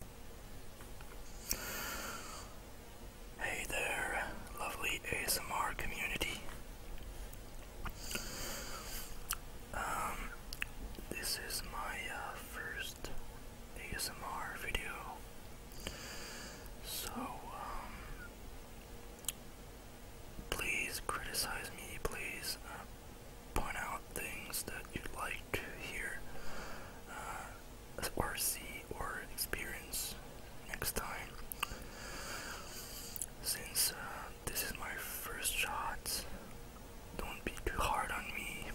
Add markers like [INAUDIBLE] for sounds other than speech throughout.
Hey there, lovely ASMR community. Um, this is my uh, first ASMR video, so um, please criticize me, please uh, point out things that you'd like to hear uh, or see or experience next time. Since uh, this is my first shot, don't be too hard on me.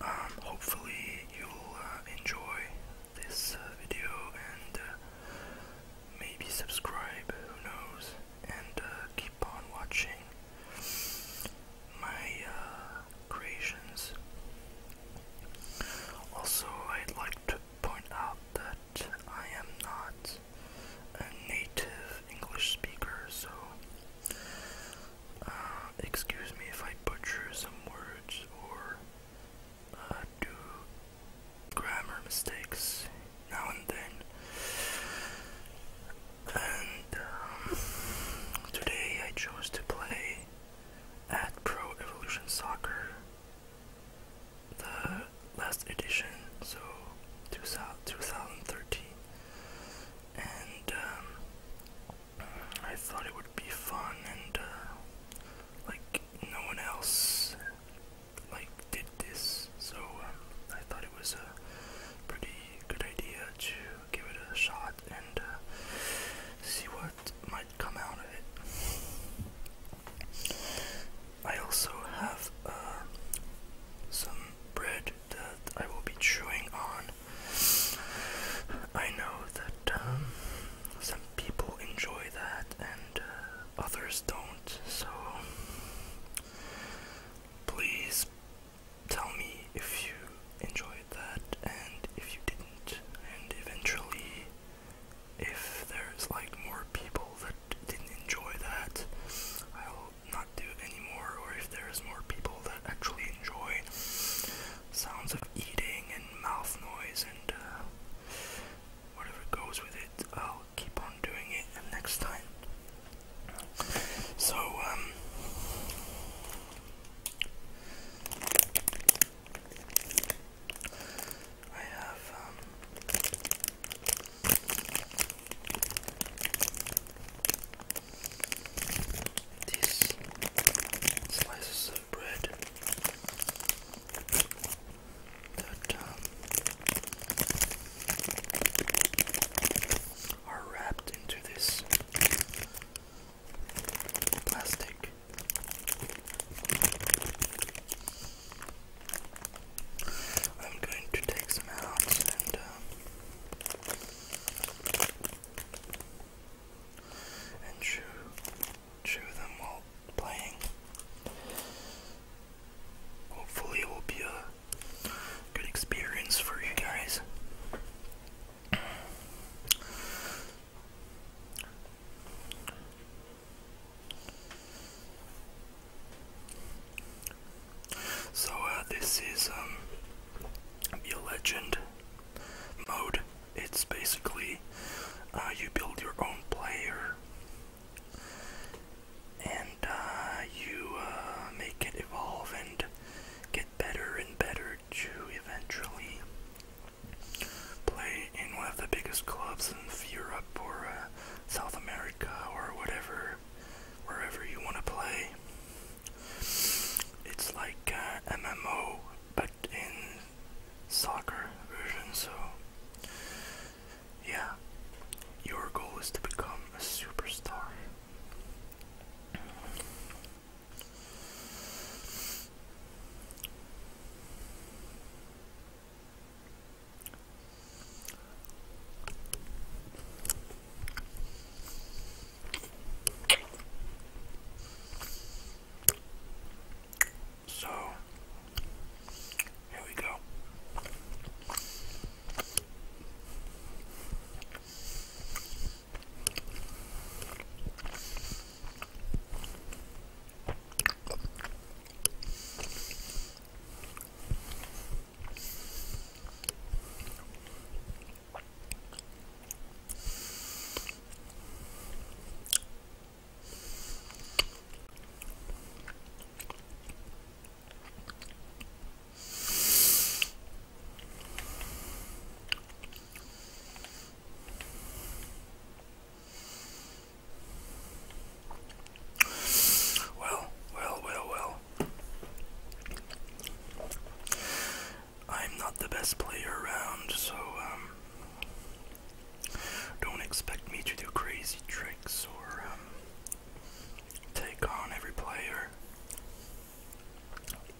Um, hopefully, you'll uh, enjoy this video and maybe subscribe, who knows, and keep keep watching my uh, creations. Also, I'd like to point out that I am not a native English speaker, so uh, excuse me if I butcher some words or uh, do grammar mistakes now and then. And um, today I chose to play at Pro Evolution Soccer, the last edition, so 2013. And um, I thought it would be fun and uh, like no one else like did this, so um, I thought it was a pretty good idea to give it a shot and uh, see what might come out of it. I also have uh, some bread that I will be chewing on. I know that um, some people enjoy that and uh, others don't, so Please tell me if you enjoyed that and if you didn't, and eventually, if there's like more people that didn't enjoy that, I'll not do it anymore, or if there's more people that actually enjoy sounds of eating and mouth noise and uh, whatever goes with it, I'll keep on doing it and next time. So, um, I have, um, these slices of bread that um, are wrapped into this plastic. I'm going to take some out and uh, chew them while playing. Hopefully, it will be a good experience for you guys. So, uh, this is um, legend mode. It's basically uh, you build your own player and uh, you uh, make it evolve and get better and better to eventually play in one of the biggest clubs in Europe or uh, South America or whatever, wherever you want to play. It's like uh, MMO, but in soccer version. So, yeah, your goal is to become a superstar. So, here we go. Well, well, well, well. I'm not the best player around, so um, don't expect me to do crazy tricks or um, take on every player.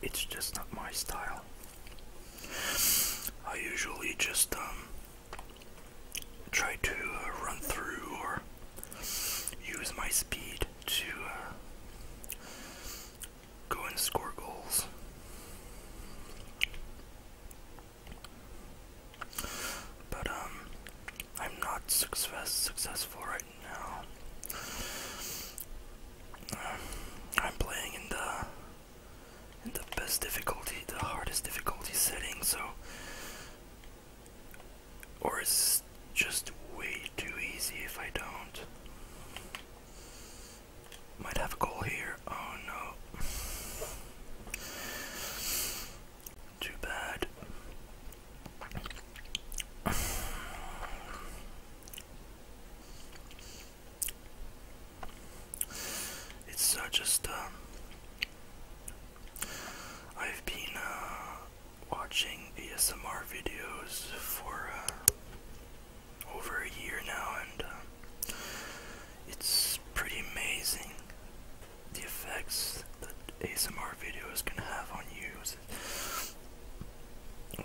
It's just not my style. I usually just um, try to uh, run through or use my speed to uh, go and score goals. But um I'm not success successful right now. Uh, I'm playing in the in the best difficulty, the hardest difficulty setting, so or it's just way too easy if I don't. Might have a goal here. Oh no. Too bad. It's just, I've been uh, watching ASMR videos for uh, over a year now, and um, it's pretty amazing the effects that ASMR videos can have on you. It's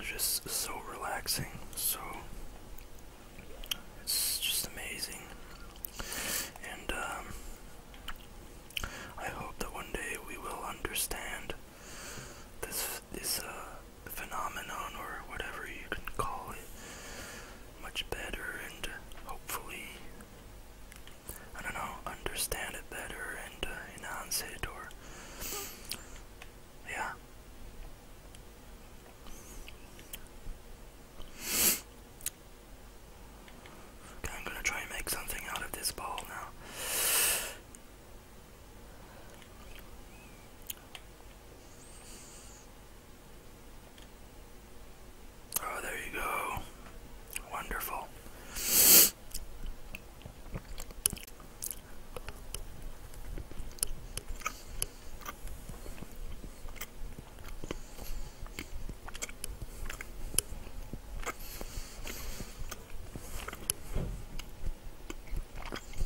just so relaxing, so it's just amazing. And um, I hope that one day we will understand this this uh, phenomenon or whatever you can call it much better and hopefully I don't know understand it better and uh, enhance it or yeah I'm gonna try and make something out of this ball now. Oh, there you go. Wonderful.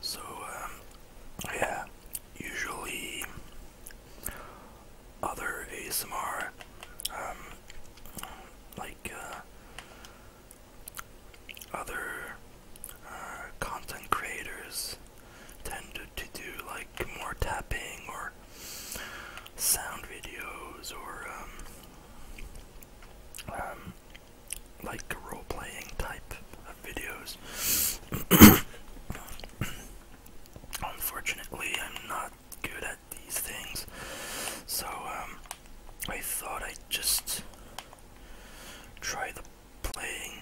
So, um, yeah, usually other ASMR, um, like uh, other uh, content creators tend to, do like more tapping or sound videos or um, um um, like role playing type of videos. [COUGHS] Unfortunately, I'm not good at these things, so um, I thought I'd just try the playing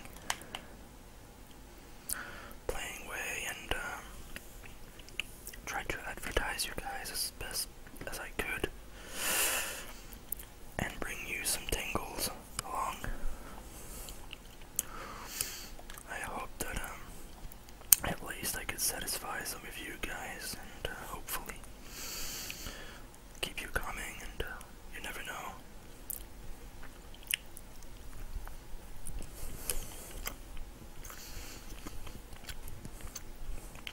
playing way and um, try to advertise you guys best as I could and bring you some tingles along. I hope that um, at least I could satisfy some of you guys and uh, hopefully keep you coming and uh, you never know.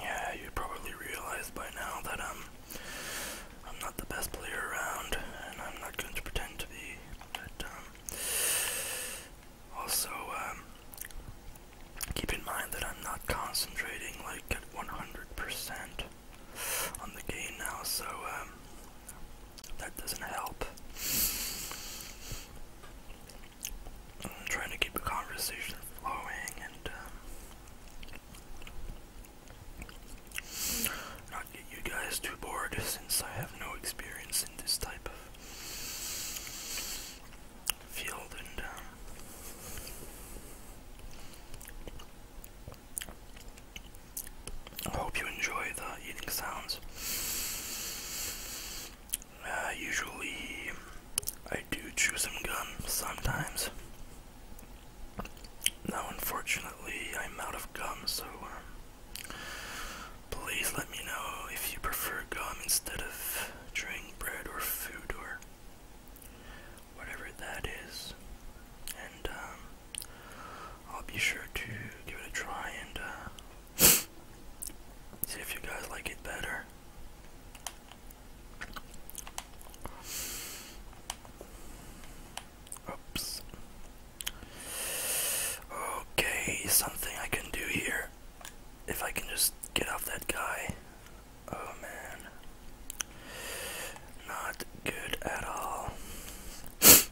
Yeah, you probably realized by now that um, I'm not the best player around and I'm not going to pretend to be. But um, also um, keep in mind that I'm not concentrating like 100% on the game now, so that doesn't help. I'm trying to keep the conversation flowing and um, not get you guys too bored since I have no experience in this type of field and um, I hope you enjoy the eating sounds. Uh, usually, I do chew some gum. sometimes. Now, unfortunately, I'm out of gum, so um, please let me know if you prefer gum instead of drink, bread, or food, or whatever that is. And um, I'll be sure to give it a try and uh, See if you guys like it better. Oops. Okay, something I can do here. If I can just get off that guy. Oh man. Not good at all.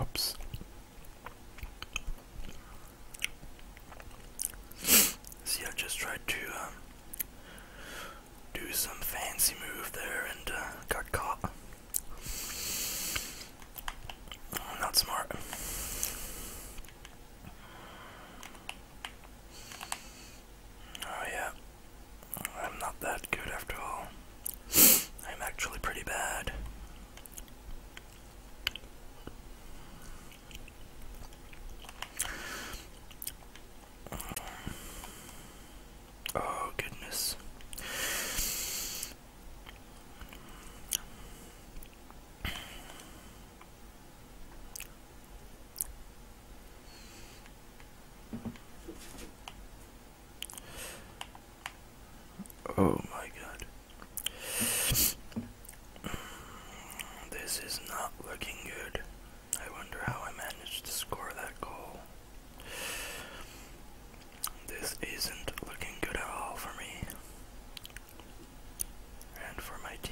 Oops. See, I just tried to um, do some fancy move there and uh, got caught. not smart. Oh, yeah. I'm not that good after all. I'm actually pretty bad. Oh, goodness. Oh my god. This is not looking good. I wonder how I managed to score that goal. This isn't looking good at all for me. And for my team.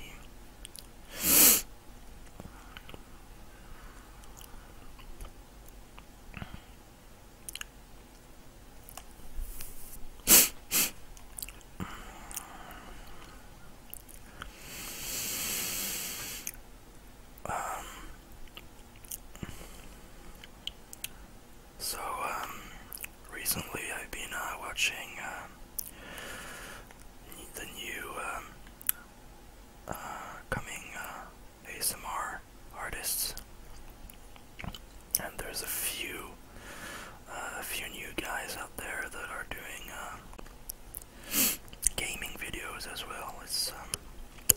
Um, so, um, recently I've been uh, watching uh, the new um, uh, coming uh, ASMR artists, and there's a few, uh, a few new guys out there that are doing uh, gaming videos as well. It's um,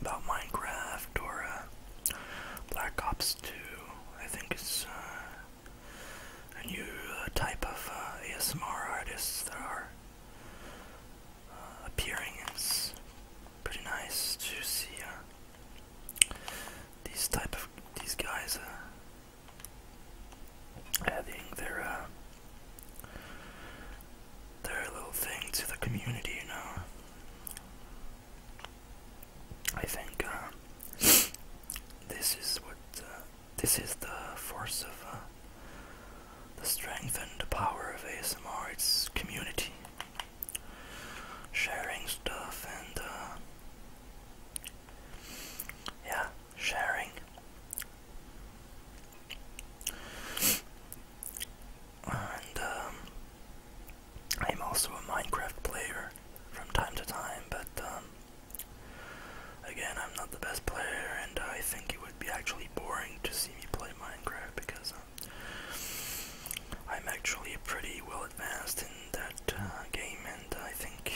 about Minecraft or uh, Black Ops 2. I think it's uh, a new uh, type of uh, ASMR artists that are uh, appearing. It's pretty nice to see uh, these type of these guys adding their uh, their little thing to the community, you know. I think uh, this is what uh, this is the force of uh, the strength and the power of ASMR. It's community, sharing stuff, and yeah, sharing. And um, I'm also a Minecraft player from time to time, but um, again, I'm not the best player, and I think it would be actually boring to see me play Minecraft because um, I'm actually pretty well advanced in that uh, game, and I think